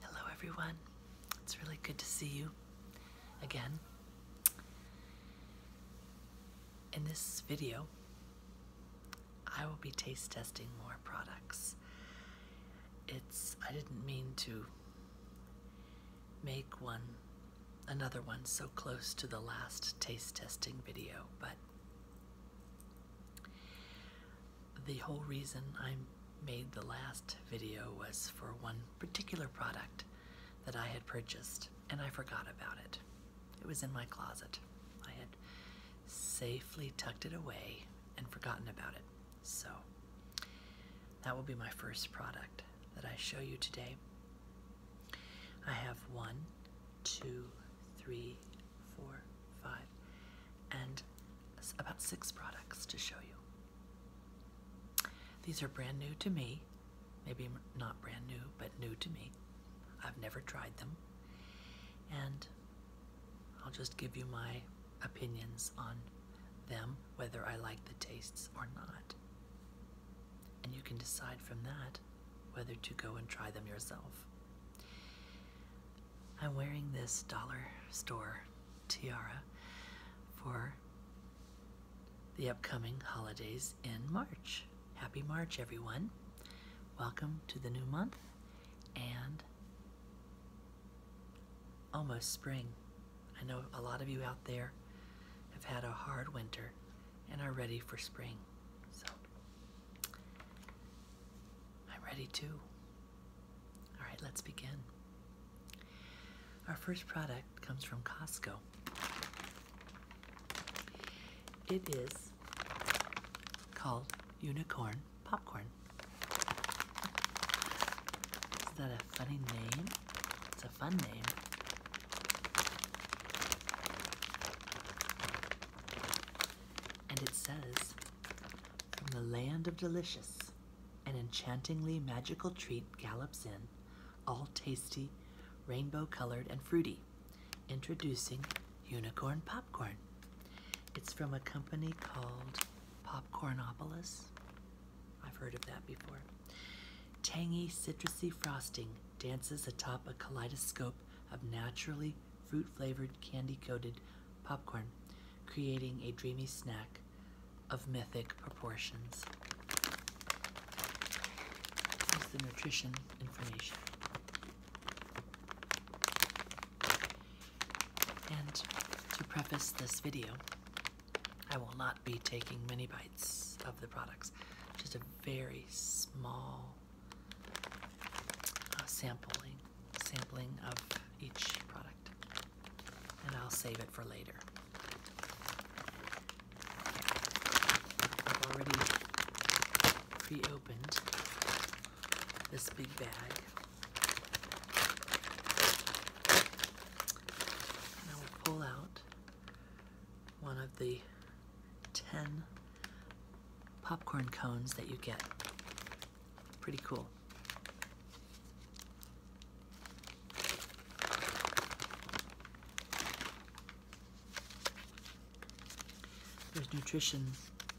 Hello, everyone. It's really good to see you again. In this video, I will be taste testing more products. It's, I didn't mean to make one, another one so close to the last taste testing video, but the whole reason I made the last video was for one particular product that I had purchased and I forgot about it. It was in my closet. I had safely tucked it away and forgotten about it. So that will be my first product that I show you today. I have one, two, three, four, five, and about six products to show you. These are brand new to me. Maybe not brand new, but new to me. I've never tried them. And I'll just give you my opinions on them, whether I like the tastes or not. And you can decide from that whether to go and try them yourself. I'm wearing this dollar store tiara for the upcoming holidays in March. Happy March, everyone. Welcome to the new month and almost spring. I know a lot of you out there have had a hard winter and are ready for spring. So I'm ready too. All right, let's begin. Our first product comes from Costco. It is called Unicorn Popcorn. Is that a funny name? It's a fun name and it says, From the land of delicious, an enchantingly magical treat gallops in, all tasty, rainbow colored, and fruity. Introducing unicorn popcorn. It's from a company called Popcornopolis. I've heard of that before. Tangy, citrusy frosting dances atop a kaleidoscope of naturally fruit flavored, candy coated popcorn, creating a dreamy snack of mythic proportions. Here's the nutrition information. And to preface this video, I will not be taking many bites of the products, just a very small sampling, sampling of each product, and I'll save it for later. I've already pre-opened this big bag. And I will pull out one of the 10 popcorn cones that you get. Pretty cool. There's nutrition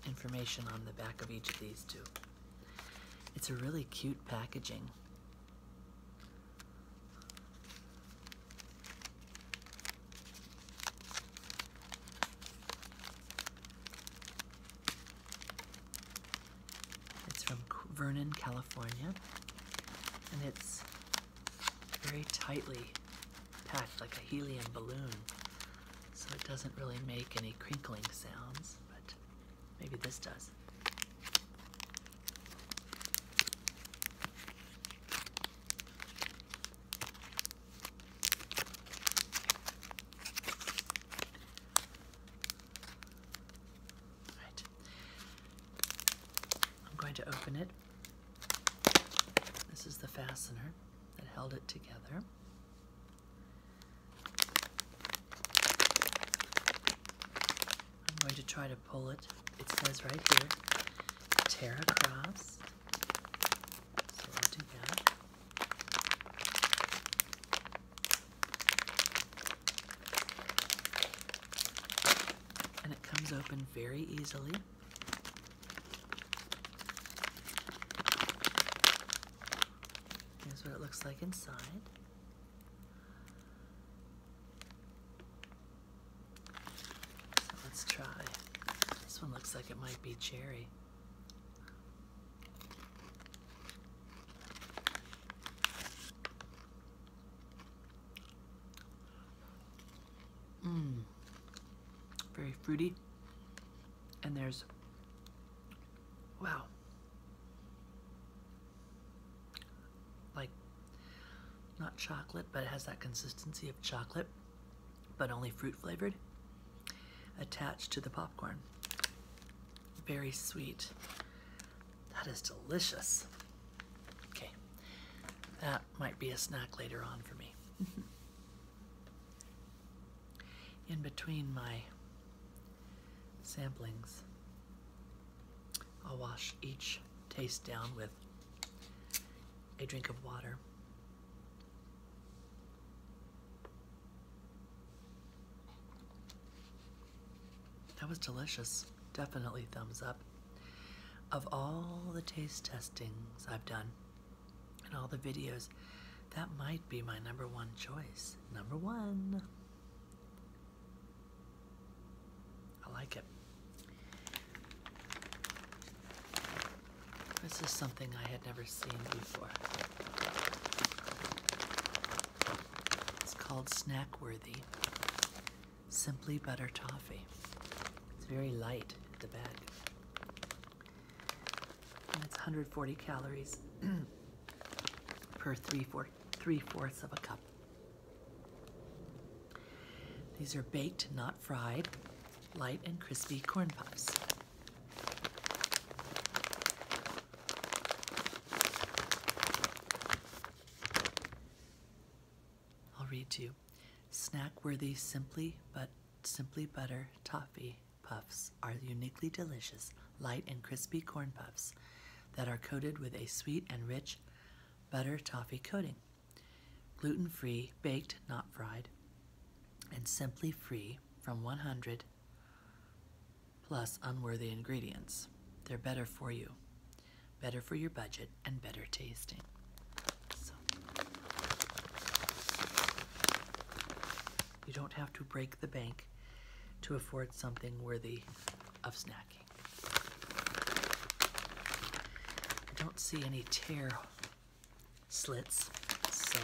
information on the back of each of these two. It's a really cute packaging. It's from Vernon, California, and it's very tightly packed like a helium balloon, so it doesn't really make any crinkling sounds, but maybe this does. I'm going to open it. This is the fastener that held it together. I'm going to try to pull it. It says right here, tear across. So we'll do that. And it comes open very easily. Here's what it looks like inside. let's try. This one looks like it might be cherry. Mmm, very fruity. And there's, wow, like not chocolate, but it has that consistency of chocolate but only fruit flavored, attached to the popcorn. Very sweet. That is delicious. Okay, that might be a snack later on for me. In between my samplings, I'll wash each taste down with a drink of water. That was delicious. Definitely thumbs up. Of all the taste testings I've done and all the videos, that might be my number one choice. Number one. I like it. This is something I had never seen before. It's called Snackworthy Simply Butter Toffee. It's very light at the bag. And it's 140 calories per three, four, three fourths of a cup. These are baked, not fried, light and crispy corn puffs. I'll read to you. Snack worthy simply but simply butter toffee puffs are uniquely delicious, light and crispy corn puffs that are coated with a sweet and rich butter toffee coating. Gluten free, baked, not fried and simply free from 100 plus unworthy ingredients. They're better for you, better for your budget, and better tasting. you don't have to break the bank to afford something worthy of snacking. I don't see any tear slits. So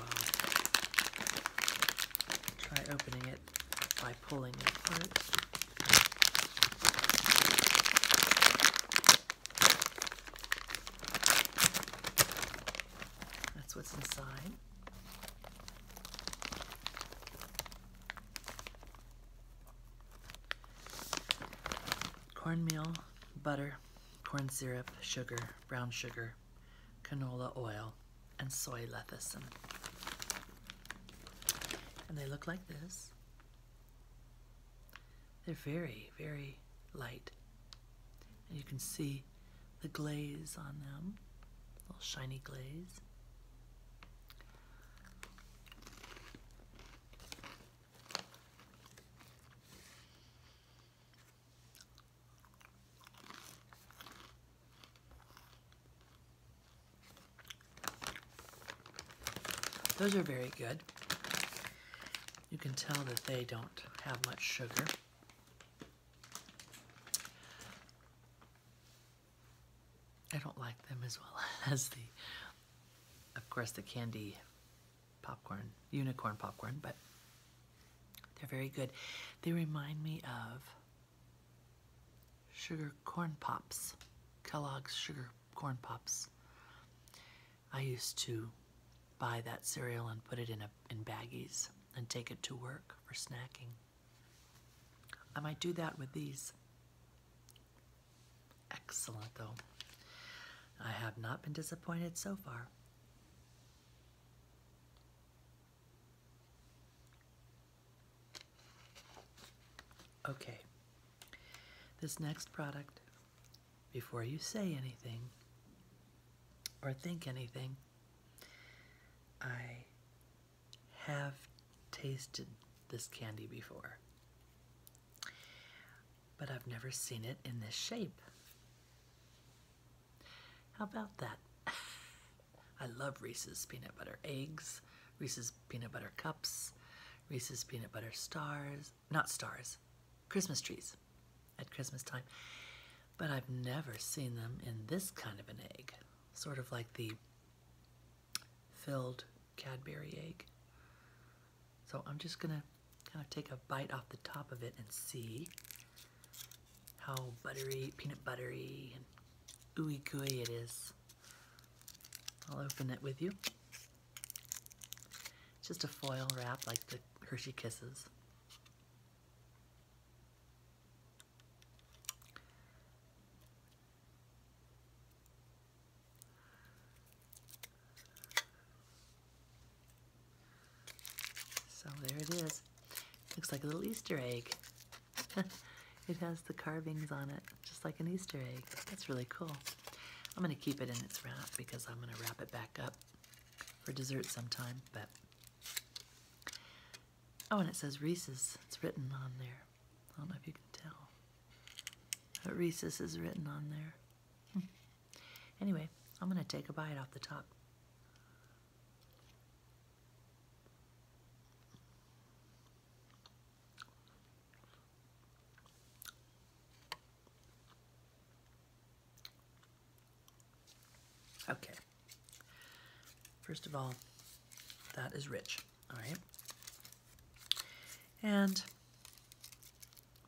try opening it by pulling it apart. That's what's inside. Cornmeal, butter, corn syrup, sugar, brown sugar, canola oil, and soy lecithin. And they look like this. They're very, very light. And you can see the glaze on them, little shiny glaze. Those are very good. You can tell that they don't have much sugar. I don't like them as well as the, of course, the candy popcorn, unicorn popcorn, but they're very good. They remind me of sugar corn pops, Kellogg's sugar corn pops. I used to buy that cereal and put it in a in baggies and take it to work for snacking. I might do that with these. Excellent though. I have not been disappointed so far. Okay, this next product, before you say anything or think anything, I have tasted this candy before but I've never seen it in this shape. How about that? I love Reese's peanut butter eggs, Reese's peanut butter cups, Reese's peanut butter stars, not stars, Christmas trees at Christmas time. But I've never seen them in this kind of an egg, sort of like the filled Cadbury egg. So I'm just gonna kind of take a bite off the top of it and see how buttery, peanut buttery, and ooey gooey it is. I'll open it with you. just a foil wrap like the Hershey Kisses. So there it is. Looks like a little Easter egg. it has the carvings on it, just like an Easter egg. That's really cool. I'm going to keep it in its wrap because I'm going to wrap it back up for dessert sometime. But Oh, and it says Reese's. It's written on there. I don't know if you can tell. But Reese's is written on there. Hmm. Anyway, I'm going to take a bite off the top. Okay. First of all, that is rich, all right? And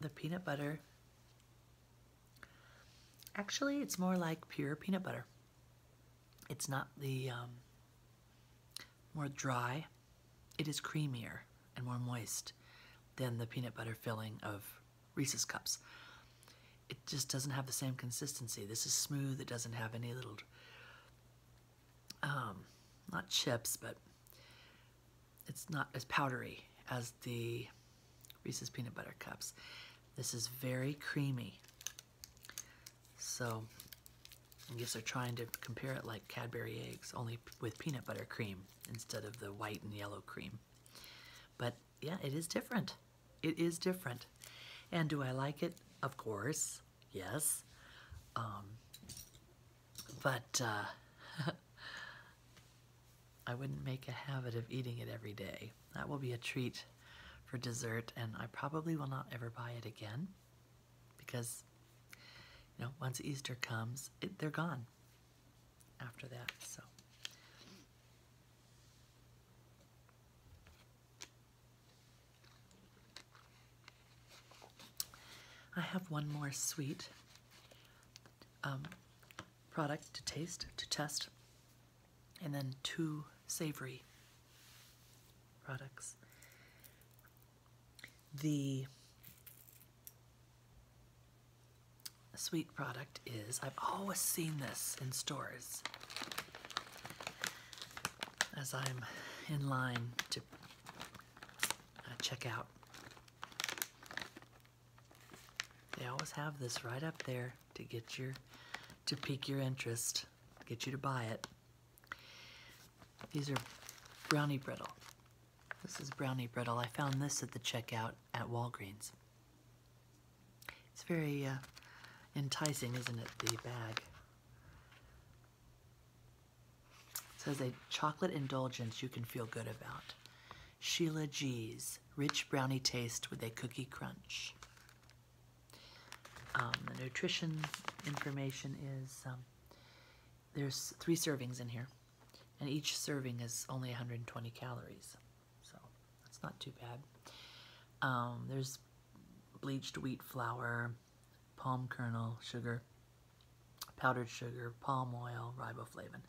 the peanut butter Actually, it's more like pure peanut butter. It's not the um, more dry, it is creamier and more moist than the peanut butter filling of Reese's Cups. It just doesn't have the same consistency. This is smooth, it doesn't have any little, um, not chips, but it's not as powdery as the Reese's Peanut Butter Cups. This is very creamy. So I guess they're trying to compare it like Cadbury eggs, only with peanut butter cream instead of the white and yellow cream. But yeah, it is different. It is different. And do I like it? Of course, yes. Um, but uh, I wouldn't make a habit of eating it every day. That will be a treat for dessert, and I probably will not ever buy it again because, you know, once Easter comes, they're gone after that. So. I have one more sweet. Um, product to taste, to test, and then two savory products. The sweet product is, I've always seen this in stores as I'm in line to uh, check out. They always have this right up there to get your to pique your interest, get you to buy it. These are brownie brittle. This is brownie brittle. I found this at the checkout at Walgreens. It's very uh, enticing, isn't it, the bag? It says a chocolate indulgence you can feel good about. Sheila G's Rich Brownie Taste with a Cookie Crunch. Um, the nutrition information is um, there's three servings in here, and each serving is only 120 calories, so that's not too bad. Um, there's bleached wheat flour, palm kernel sugar, powdered sugar, palm oil, riboflavin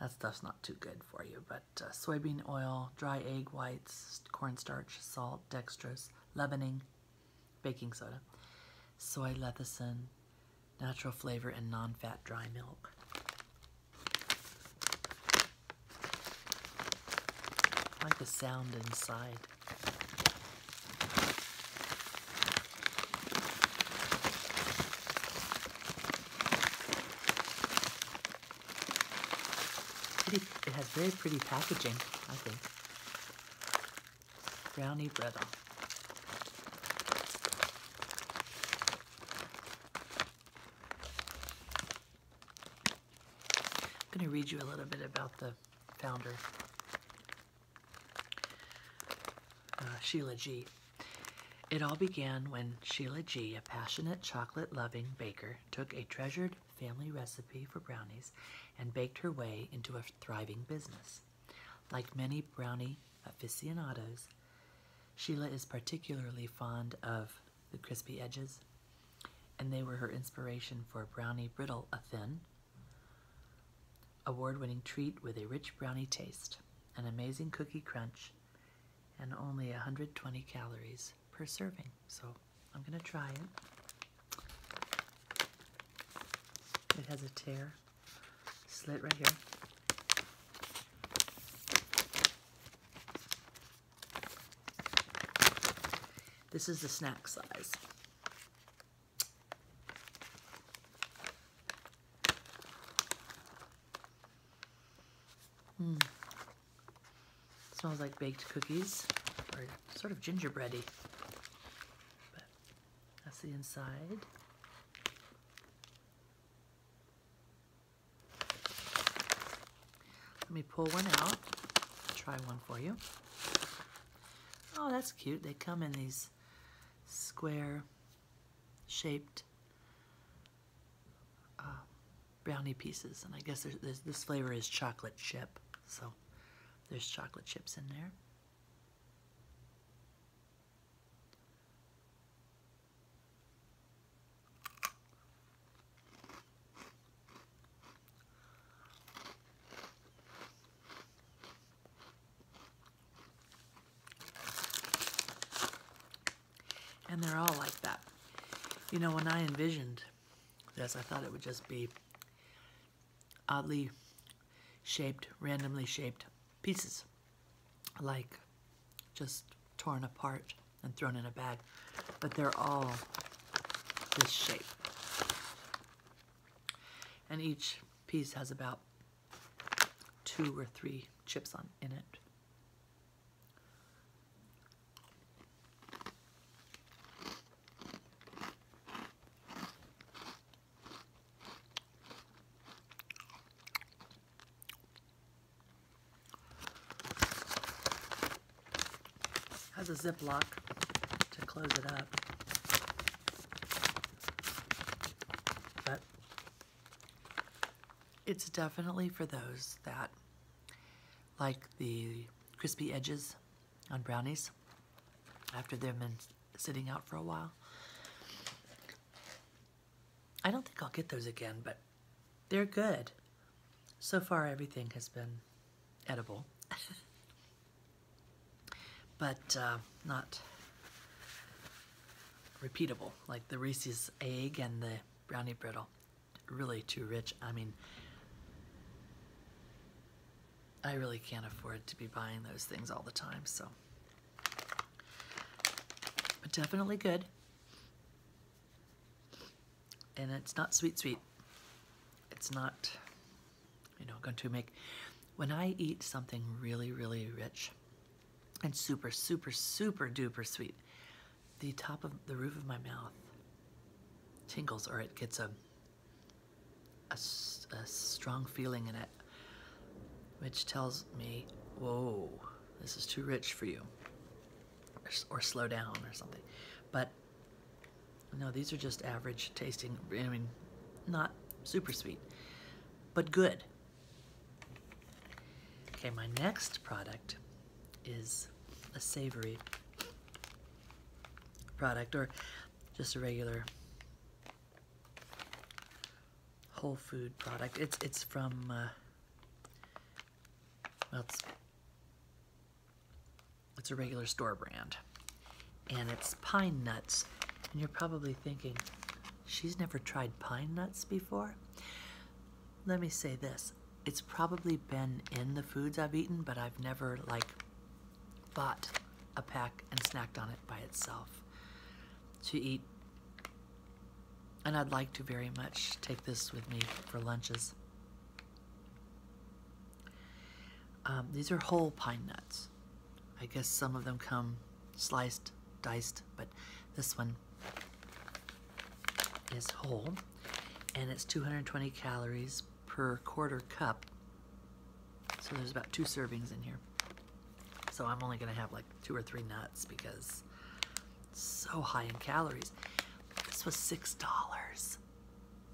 that stuff's not too good for you. But uh, soybean oil, dry egg whites, cornstarch, salt, dextrose, leavening, baking soda, soy lecithin, natural flavor, and non-fat dry milk. like the sound inside it has very pretty packaging, I think. Brownie brittle. I'm going to read you a little bit about the founder, uh, Sheila G. It all began when Sheila G., a passionate chocolate loving baker, took a treasured family recipe for brownies and baked her way into a thriving business. Like many brownie aficionados, Sheila is particularly fond of the crispy edges, and they were her inspiration for brownie brittle a thin, award winning treat with a rich brownie taste, an amazing cookie crunch, and only 120 calories per serving. So I'm going to try it. It has a tear slit right here. This is the snack size. Hmm. Smells like baked cookies or sort of gingerbready. that's the inside. Let me pull one out, try one for you. Oh, that's cute. They come in these square shaped uh, brownie pieces. And I guess this flavor is chocolate chip. So there's chocolate chips in there. And they're all like that. You know, when I envisioned this, I thought it would just be oddly shaped, randomly shaped pieces, like just torn apart and thrown in a bag. But they're all this shape. And each piece has about two or three chips on in it. Has a ziplock to close it up. But it's definitely for those that like the crispy edges on brownies after they've been sitting out for a while. I don't think I'll get those again, but they're good. So far, everything has been edible, but uh, not repeatable, like the Reese's egg and the brownie brittle. Really too rich. I mean, I really can't afford to be buying those things all the time, so. But definitely good. And it's not sweet sweet. It's not, you know, going to make, when I eat something really, really rich, and super, super, super duper sweet. The top of the roof of my mouth tingles or it gets a, a, strong feeling in it, which tells me, whoa, this is too rich for you or slow down or something. But no, these are just average tasting. I mean, not super sweet, but good. Okay, my next product is a savory product or just a regular whole food product. It's it's from uh, well, it's a regular store brand, and it's pine nuts. And you're probably thinking, She's never tried pine nuts before. Let me say this. It's probably been in the foods I've eaten, but I've never like bought a pack and snacked on it by itself to eat. And I'd like to very much take this with me for lunches. Um, these are whole pine nuts. I guess some of them come sliced, diced, but this one is whole and it's 220 calories per quarter cup. So there's about two servings in here. So I'm only going to have like two or three nuts because so high in calories. This was $6.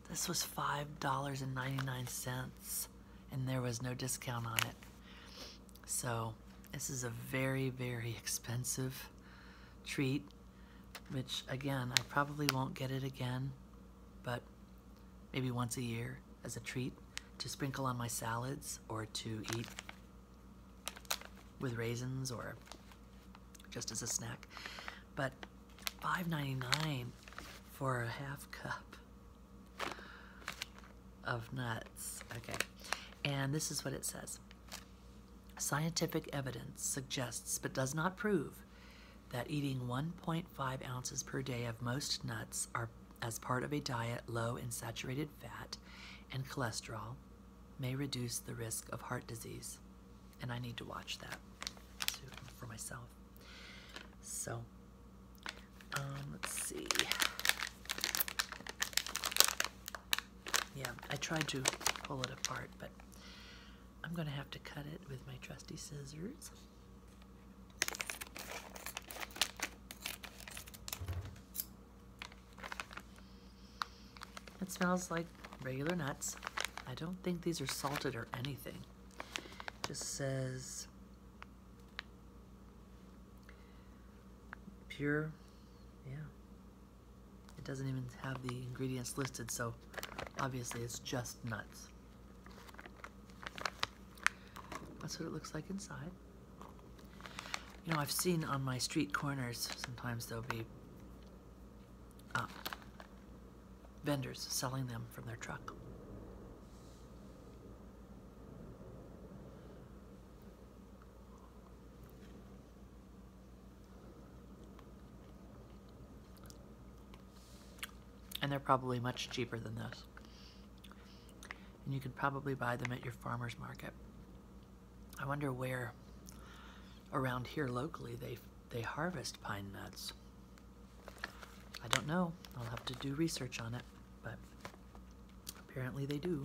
This was $5.99 and there was no discount on it. So this is a very, very expensive treat, which again, I probably won't get it again, but maybe once a year as a treat to sprinkle on my salads or to eat with raisins or just as a snack. But $5.99 for a half cup of nuts. Okay. And this is what it says. Scientific evidence suggests, but does not prove, that eating 1.5 ounces per day of most nuts are as part of a diet low in saturated fat and cholesterol may reduce the risk of heart disease. And I need to watch that for myself. So um, let's see. Yeah, I tried to pull it apart, but I'm going to have to cut it with my trusty scissors. It smells like regular nuts. I don't think these are salted or anything. It just says Pure, yeah. It doesn't even have the ingredients listed, so obviously it's just nuts. That's what it looks like inside. You know, I've seen on my street corners, sometimes there'll be uh, vendors selling them from their truck. And they're probably much cheaper than this. And you could probably buy them at your farmer's market. I wonder where around here locally they they harvest pine nuts. I don't know. I'll have to do research on it, but Apparently they do.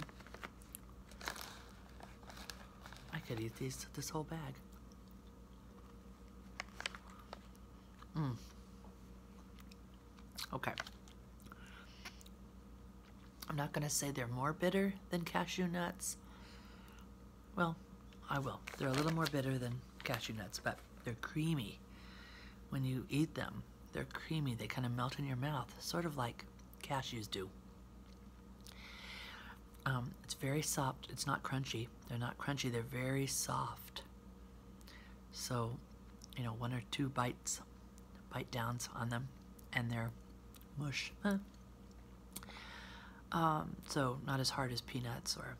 I could eat these this whole bag. Mm. Okay. I'm not going to say they're more bitter than cashew nuts. Well, I will. They're a little more bitter than cashew nuts, but they're creamy when you eat them. They're creamy, they kind of melt in your mouth, sort of like cashews do. Um, it's very soft, it's not crunchy. They're not crunchy, they're very soft. So, you know, one or two bites, bite downs on them, and they're mush. Um, so not as hard as peanuts or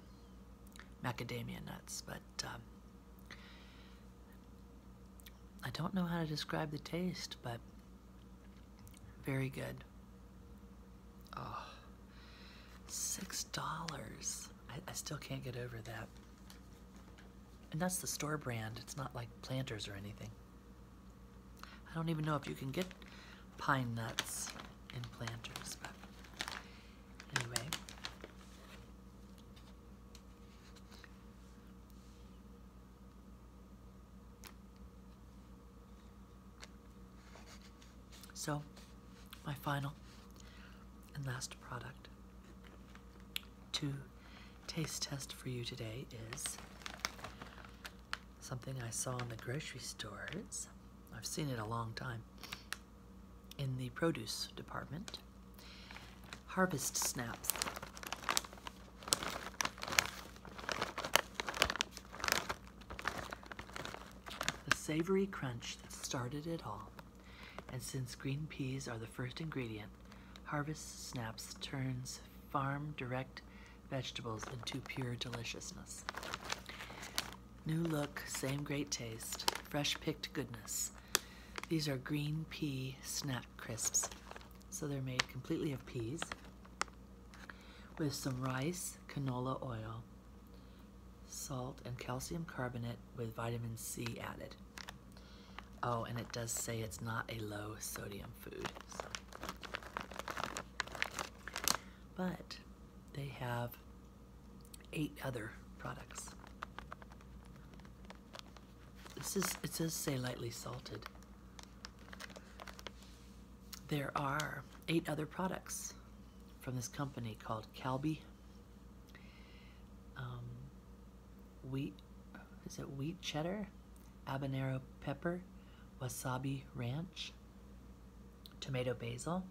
macadamia nuts, but um, I don't know how to describe the taste, but very good. Oh, six dollars. I, still can't get over that. And that's the store brand. It's not like planters or anything. I don't even know if you can get pine nuts in planters, anyway. So, my final and last product to taste test for you today is something I saw in the grocery stores. I've seen it a long time in the produce department. Harvest snaps. The savory crunch that started it all. And since green peas are the first ingredient, Harvest Snaps turns farm direct vegetables into pure deliciousness. New look, same great taste, fresh picked goodness. These are green pea snaps crisps. So they're made completely of peas with some rice, canola oil, salt, and calcium carbonate with vitamin C added. Oh, and it does say it's not a low sodium food. But they have eight other products. This is, it says say lightly salted. There are eight other products from this company called Calbee. Um, wheat, is it wheat cheddar? Habanero pepper, wasabi ranch, tomato basil.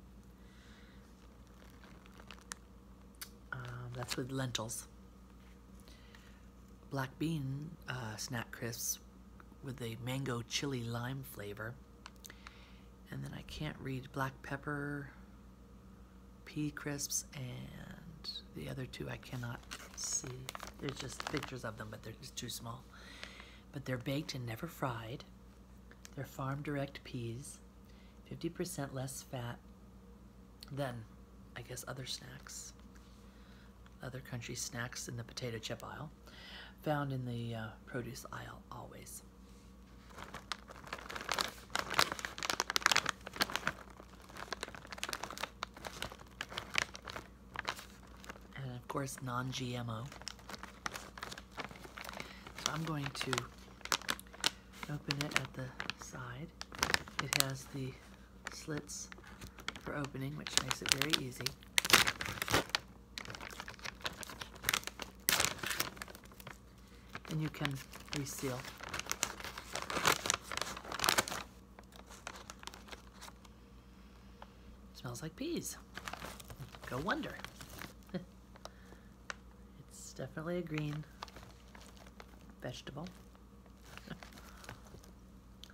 Um, that's with lentils. Black bean uh, snack crisps with a mango chili lime flavor. And then I can't read black pepper, pea crisps, and the other two I cannot see. There's just pictures of them, but they're just too small. But they're baked and never fried. They're farm direct peas, 50% less fat, then, I guess other snacks, other country snacks in the potato chip aisle, found in the uh, produce aisle always. And of course, non-GMO. So I'm going to open it at the side. It has the slits for opening, which makes it very easy. And you can reseal. Smells like peas. Go wonder. it's definitely a green vegetable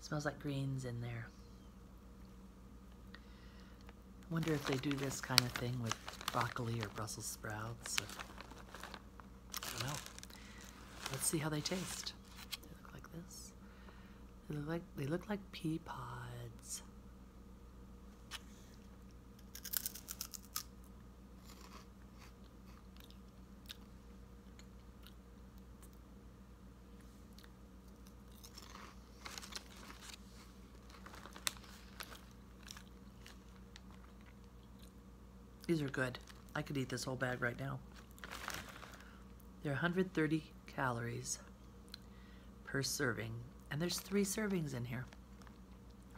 smells like greens in there. I wonder if they do this kind of thing with broccoli or Brussels sprouts. I don't know. Let's see how they taste. They look like this. They look like, they look like pea pods. These are good. I could eat this whole bag right now. There are 130 calories per serving, and there's three servings in here.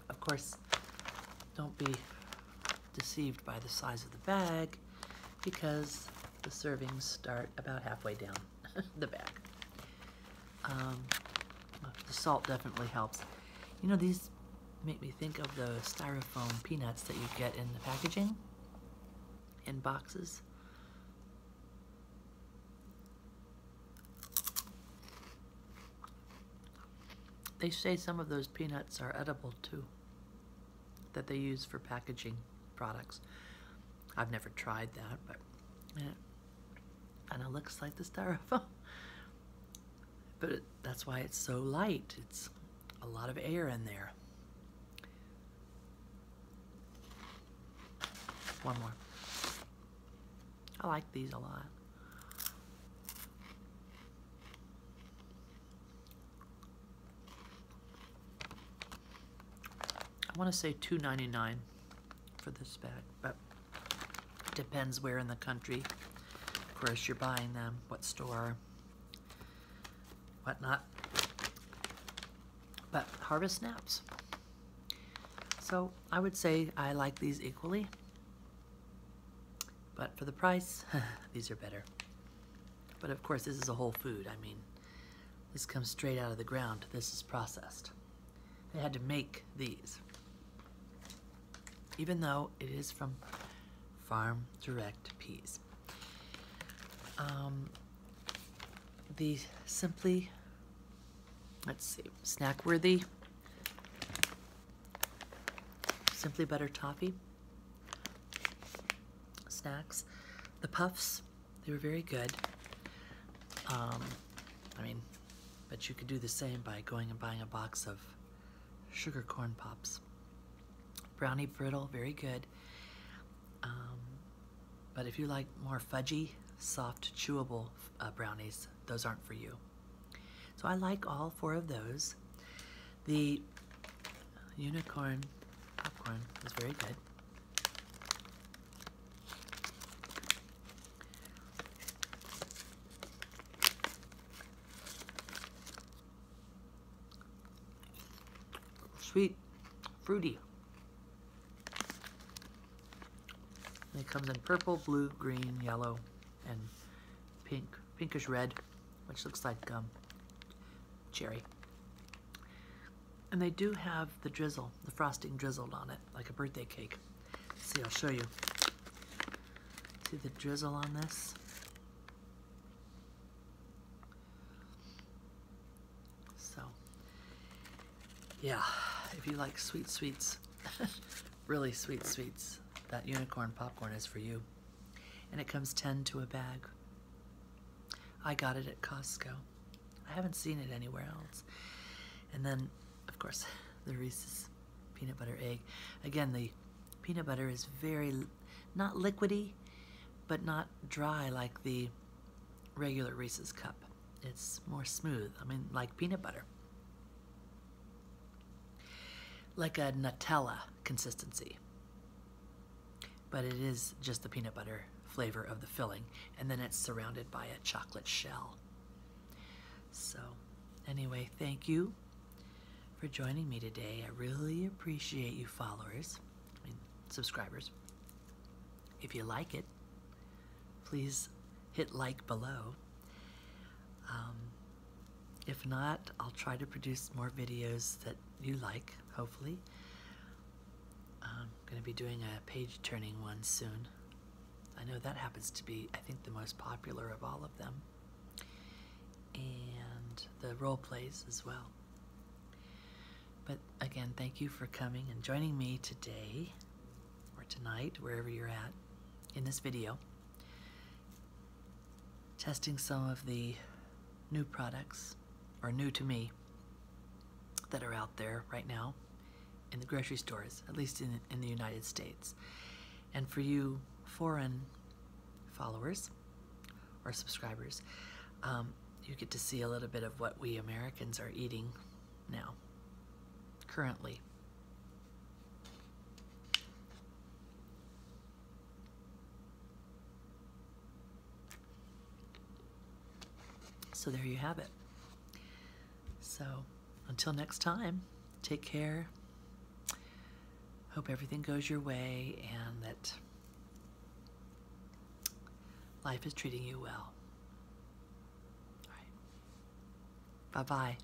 Of course, don't be deceived by the size of the bag because the servings start about halfway down the bag. Um, the salt definitely helps. You know, these make me think of the styrofoam peanuts that you get in the packaging in boxes. They say some of those peanuts are edible too, that they use for packaging products. I've never tried that, but And eh, it looks like the styrofoam. But that's why it's so light. It's a lot of air in there. One more. I like these a lot. I want to say two ninety nine for this bag, but depends where in the country, of course, you're buying them, what store, whatnot. But harvest snaps. So I would say I like these equally. But for the price, these are better. But of course, this is a whole food. I mean, this comes straight out of the ground. This is processed. They had to make these. Even though it is from Farm Direct Peas. Um, the Simply, let's see, Snack Worthy Simply butter Toffee snacks. The puffs, they were very good. Um, I mean, but you could do the same by going and buying a box of sugar corn pops. Brownie brittle, very good. Um, but if you like more fudgy, soft, chewable uh, brownies, those aren't for you. So I like all four of those. The unicorn popcorn is very good. Sweet, fruity. it comes in purple, blue, green, yellow, and pink, pinkish red, which looks like um, cherry. And they do have the drizzle, the frosting drizzled on it, like a birthday cake. see, I'll show you. See the drizzle on this? So, yeah, if you like sweet sweets, really sweet sweets, that unicorn popcorn is for you and it comes 10 to a bag. I got it at Costco. I haven't seen it anywhere else. And then, of course, the Reese's peanut butter egg. Again, the peanut butter is very, not liquidy, but not dry like the regular Reese's cup. It's more smooth, I mean, like peanut butter like a Nutella consistency. But it is just the peanut butter flavor of the filling, and then it's surrounded by a chocolate shell. So, anyway, thank you for joining me today. I really appreciate you, followers and subscribers. If you like it, please hit like below. Um, if not, I'll try to produce more videos that you like, hopefully. I'm going to be doing a page turning one soon. I know that happens to be, I think, the most popular of all of them. And the role plays as well. But again, thank you for coming and joining me today or tonight, wherever you're at in this video testing some of the new products, or new to me, that are out there right now in the grocery stores, at least in, in the United States. And for you foreign followers or subscribers, um, you get to see a little bit of what we Americans are eating now, currently. So there you have it. So until next time, take care. Hope everything goes your way and that life is treating you well. Bye bye.